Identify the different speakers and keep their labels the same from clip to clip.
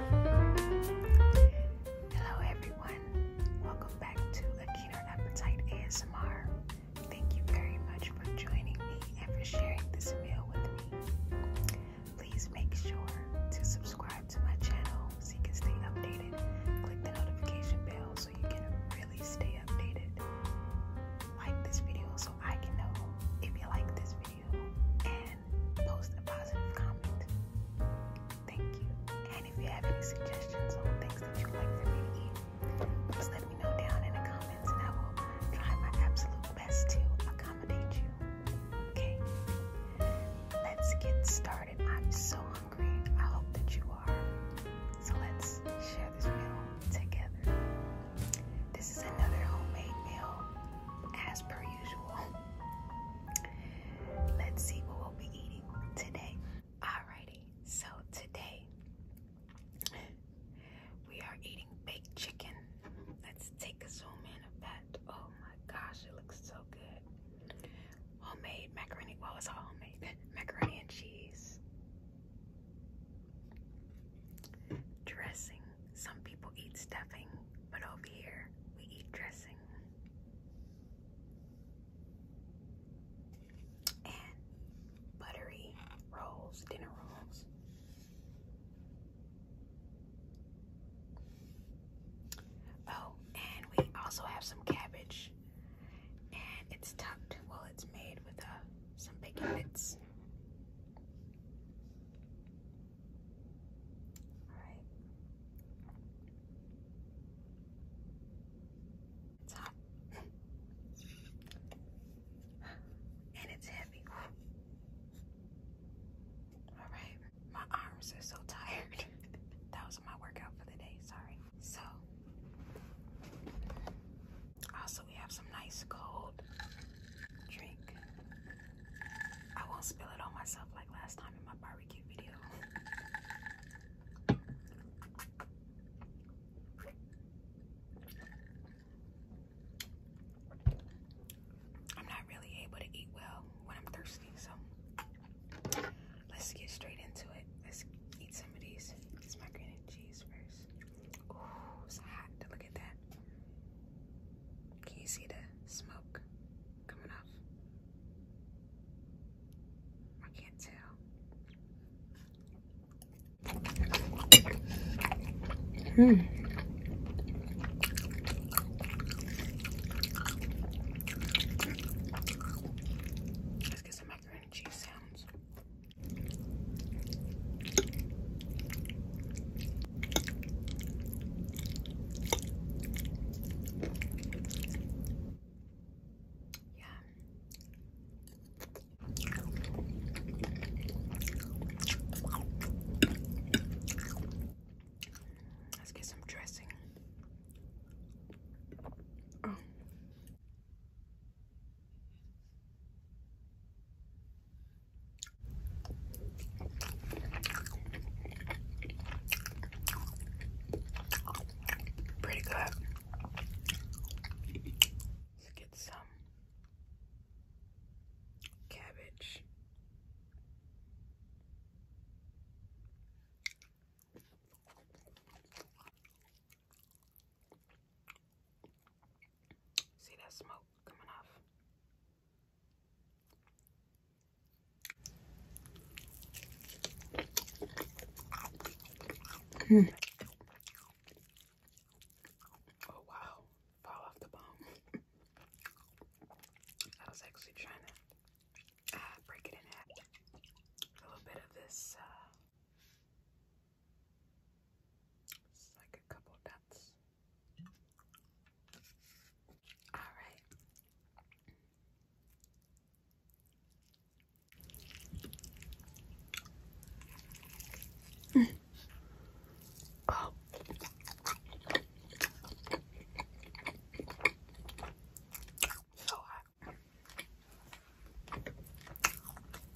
Speaker 1: Hello, everyone. Welcome back to A Keener Appetite ASMR. Thank you very much for joining me and for sharing this meal with me. Please make sure to subscribe to my channel so you can stay updated. Click the notification bell so you can really stay updated. Like this video so I can know if you like this video post a positive comment. Thank you. And if you have any suggestions on things that you like for me to eat, just let me know down in the comments and I will try my absolute best to accommodate you. Okay? Let's get started. I'm so hungry. I hope that you are. So let's share this meal together. This is another homemade meal as per usual. Let's see what we'll be eating today. Alrighty, so today we are eating baked chicken. Let's take a zoom in of that. Oh my gosh, it looks so good. Homemade macaroni, well it's homemade. Macaroni and cheese. Dressing some people eat stuffing, but over here we eat dressing. And buttery rolls, dinner rolls. Oh, and we also have some cabbage. And it's tucked, well, it's made with uh, some bacon bits. All right. It's hot. and it's heavy. All right. My arms are so tired. that was my workout for the day. Sorry. So, i also we have some nice cold drink. I won't spill it on myself like last time in my barbecue video. I'm not really able to eat well when I'm thirsty, so let's get straight into it. Let's eat some of these. It's my green cheese first. Ooh, it's hot. Look at that. Can you see the smoke coming off? I can't tell. Hmm. Let's get some macaroni and sounds. Yeah. Let's get some dressing. Oh. Pretty good. Let's get some cabbage. See that smoke coming off. Mm. Oh wow, fall off the bone. I was actually trying to uh, break it in half. A little bit of this uh, it's like a couple dots. Alright. Mm. Oh. So hot.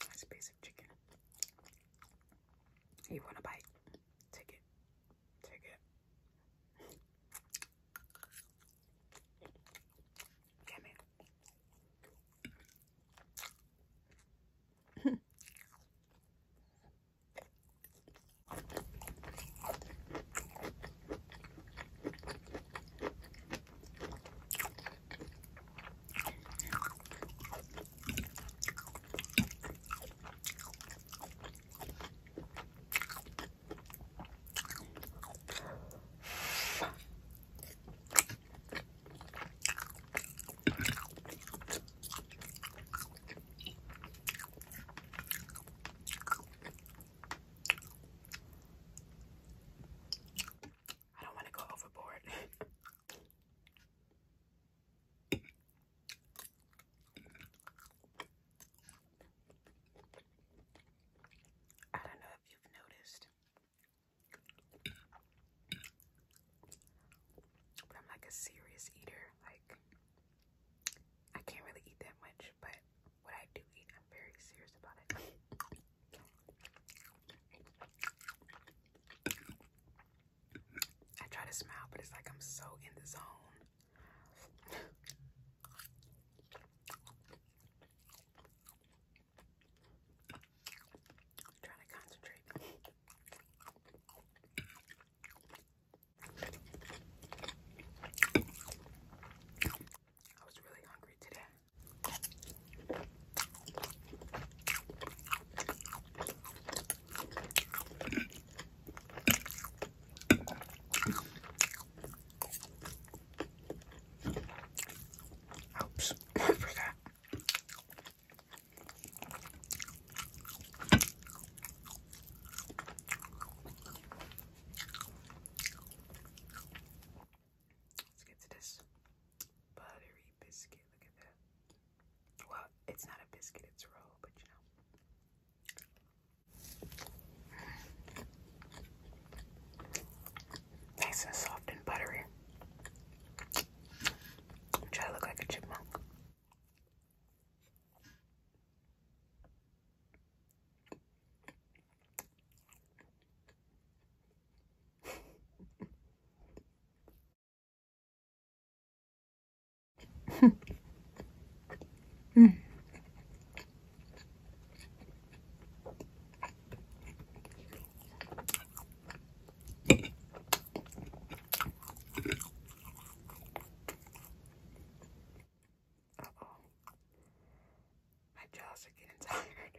Speaker 1: That's basic chicken. You want a bite? Take it. Take it. Give me. I don't want to go overboard. I don't know if you've noticed, but I'm like a serious eater. Like, I can't really eat that much, but what I do eat, I'm very serious about it. I try to smile, but it's like I'm so in the zone i trying to concentrate. I was really hungry today. Oops, I forgot. Let's get to this buttery biscuit. Look at that. Well, it's not a biscuit, it's a roll, but you know. Nice and soft and buttery. i to look like a chipmunk mm. My jaws are getting tired.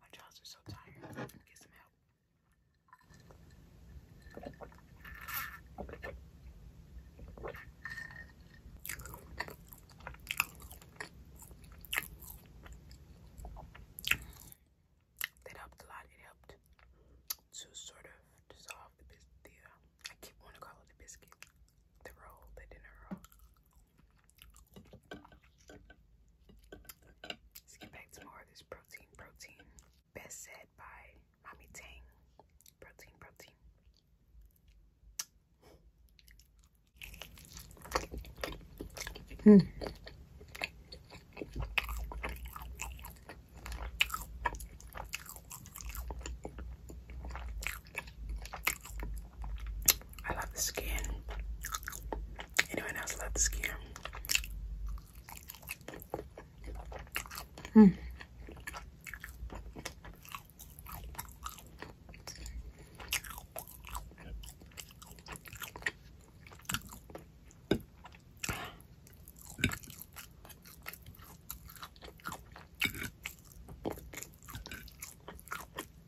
Speaker 1: My jaws are so tired. get some help. That helped a lot. It helped to sort of dissolve the, the uh, I keep wanting to call it the biscuit, the roll, the dinner roll. Let's get back to more of this protein, protein. Best said by Mommy Tang. Protein, protein. Hmm. I love the skin. Anyone else love the skin? Hmm.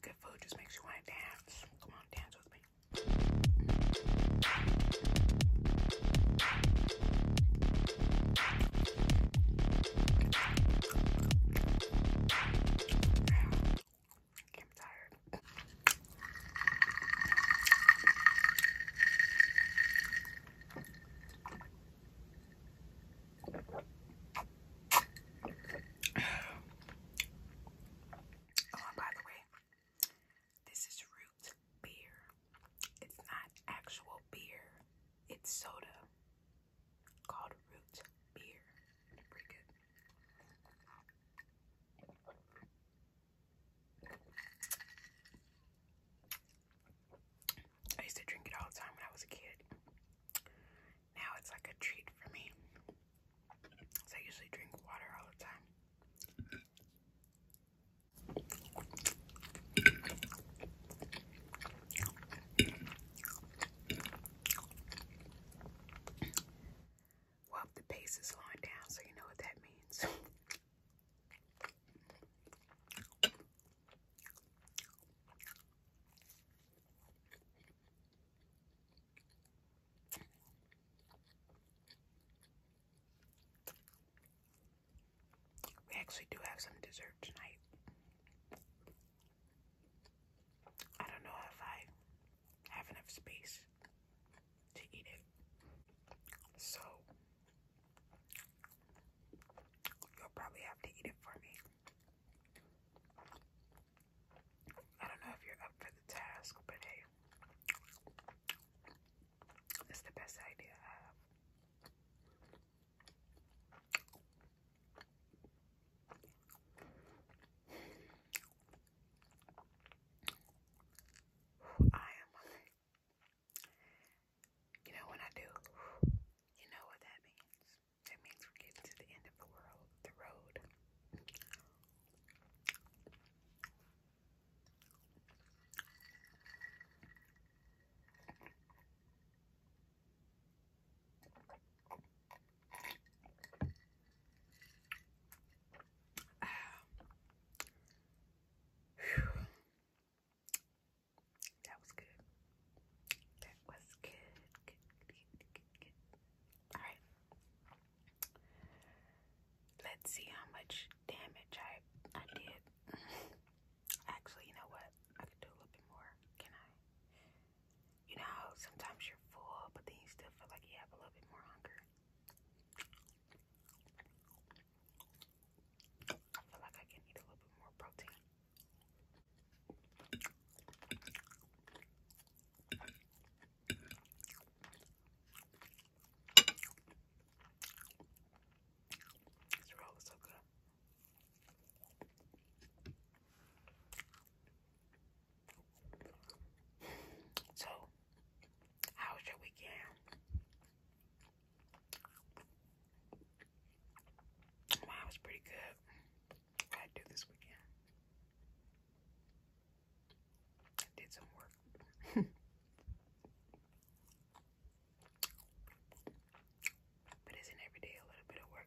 Speaker 1: Good food just makes you want to dance. Come on, dance with me. I'm tired. Oh, by the way, this is root beer. It's not actual beer, it's soda called root beer. Pretty good. I used to drink it all the time when I was a kid. Now it's like a treat for me. So I usually drink water all the time. Well, the pace is slowing down, so you know what that means. We actually do have some dessert tonight. I don't know if I have enough space to eat it. So, you'll probably have to eat it for me. I don't know if you're up for the task, but hey, it's the best idea I have. I am. You know when I do, you know what that means. That means we're getting to the end of the world, the road. That was good. That was good. All right. Let's see how much damage I I did. Actually, you know what? I could do a little bit more. Can I? you know, sometimes you're full, but then you still feel like you have a little bit more hunger. I feel like I can eat a little bit more protein. This roll is so good. So, how was your weekend? Mine was pretty good. I do this weekend? I did some work. But isn't every day a little bit of work?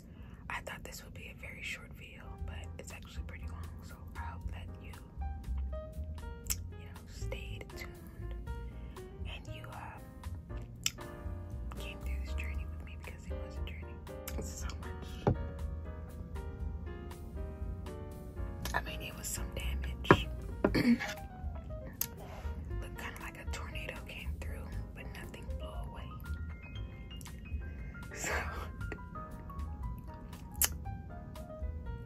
Speaker 1: I thought this would be a very short video, but it's actually pretty long, so I hope that you, you know, stayed tuned and you uh, came through this journey with me because it was a journey. It's so much. I mean, it was some damage. Looked kind of like a tornado came through, but nothing blew away. So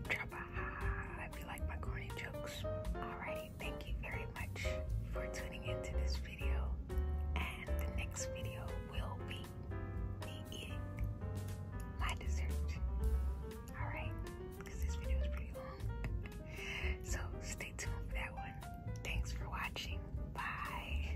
Speaker 1: drop a high if you like my corny jokes. Alrighty, thank you very much for tuning into this video. And the next video will be me eating my dessert. Alright, because this video is pretty long. So stay tuned for that one. Thanks for watching. Bye.